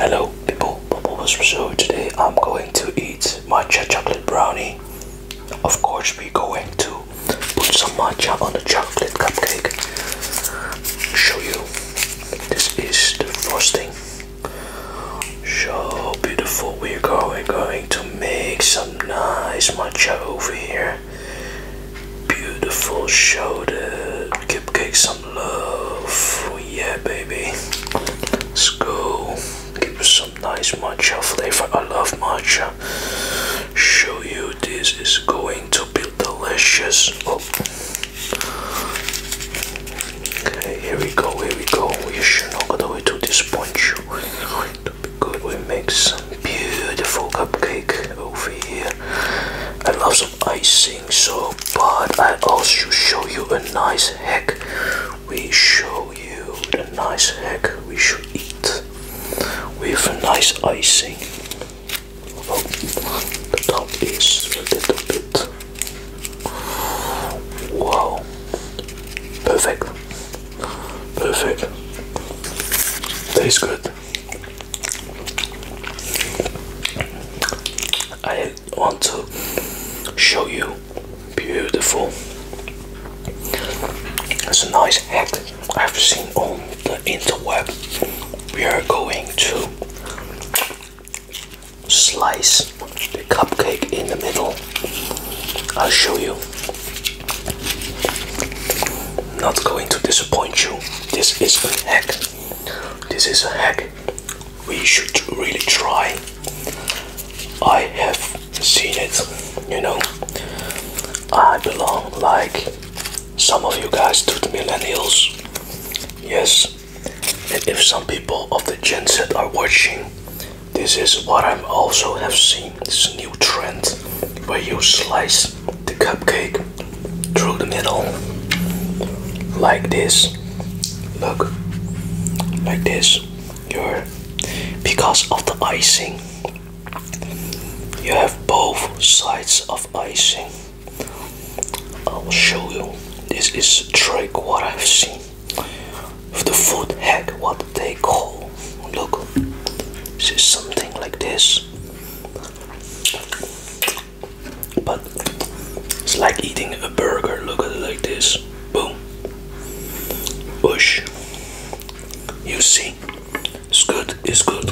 Hello people, Bubble was Rousseau. Today I'm going to eat my chocolate brownie of course, we're going to put some matcha on the chocolate cupcake. Show you. This is the frosting. So beautiful. We're going, going to make some nice matcha over here. Beautiful. Show the cupcake some love. Yeah, baby. Let's go. Give us some nice matcha flavor. I love matcha. Show you this is going to be delicious. Oh. Okay, here we go, here we go. We should not go the way to this punch. Good, we make some beautiful cupcake over here. I love some icing so, but I also show you a nice heck we show you the nice egg we should eat with a nice icing. Oh, the top is a little bit. Wow, perfect, perfect. Tastes good. I want to show you Beautiful. It's a nice hack I've seen on the interweb. We are going to slice the cupcake in the middle. I'll show you. Not going to disappoint you. This is a hack. This is a hack we should really try. I have Seen it, you know I belong like some of you guys to the millennials. Yes, and if some people of the Gen Z are watching, this is what I also have seen this new trend where you slice the cupcake through the middle like this. Look, like this your because of the icing you have both sides of icing I'll show you this is trick what I've seen with the food hack what they call look this is something like this but it's like eating a burger. Look at it like this. Boom. Bush. You see. It's good. It's good.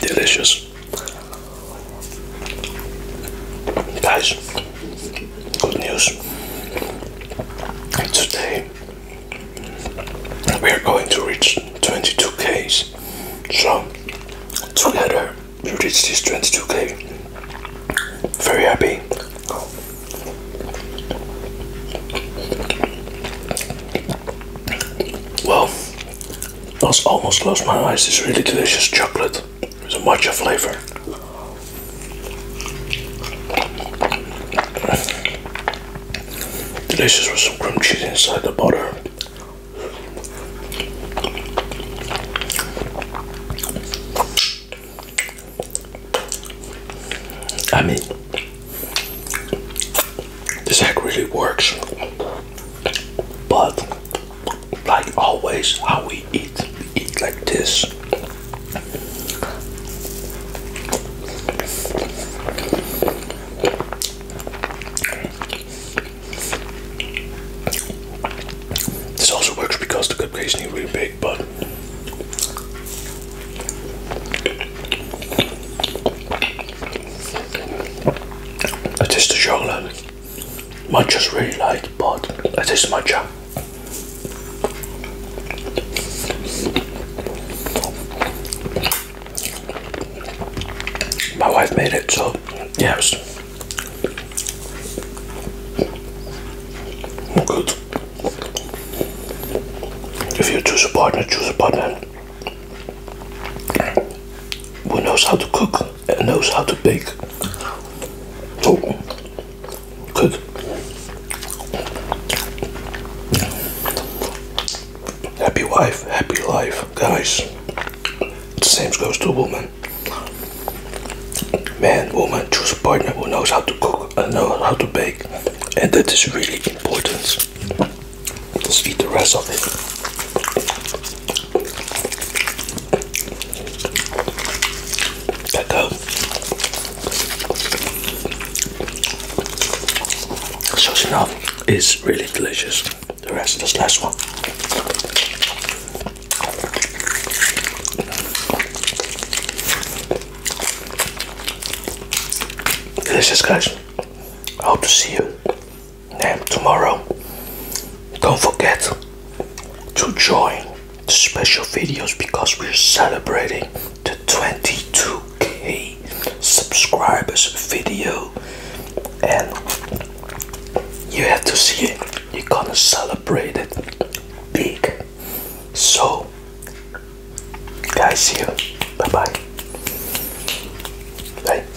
Delicious. Guys good news. today we are going to reach 22Ks. So together we reach this 22K. Very happy. Well, I was almost closed my eyes. This really delicious chocolate. It's a matcha flavor. Delicious with some cream cheese inside the butter. I mean, this hack really works, but like always, how we eat eat like this. This also works because the is not really big, but it is the chocolate. Matcha's really light, but that is taste matcha. My wife made it, so yes. Good. If you choose a partner, choose a partner who knows how to cook and knows how to bake. Oh, good. Happy wife, happy life, guys. The same goes to woman. Man, woman, choose a partner who knows how to cook and knows how to bake. And that is really important. Let's eat the rest of it. Cocoa. Sosinoff is really delicious. The rest of this last one. Delicious guys. I hope to see you and tomorrow, don't forget to join the special videos because we're celebrating the 22k subscribers video. And you have to see it, you're gonna celebrate it big. So, guys, see you. Bye bye. Bye.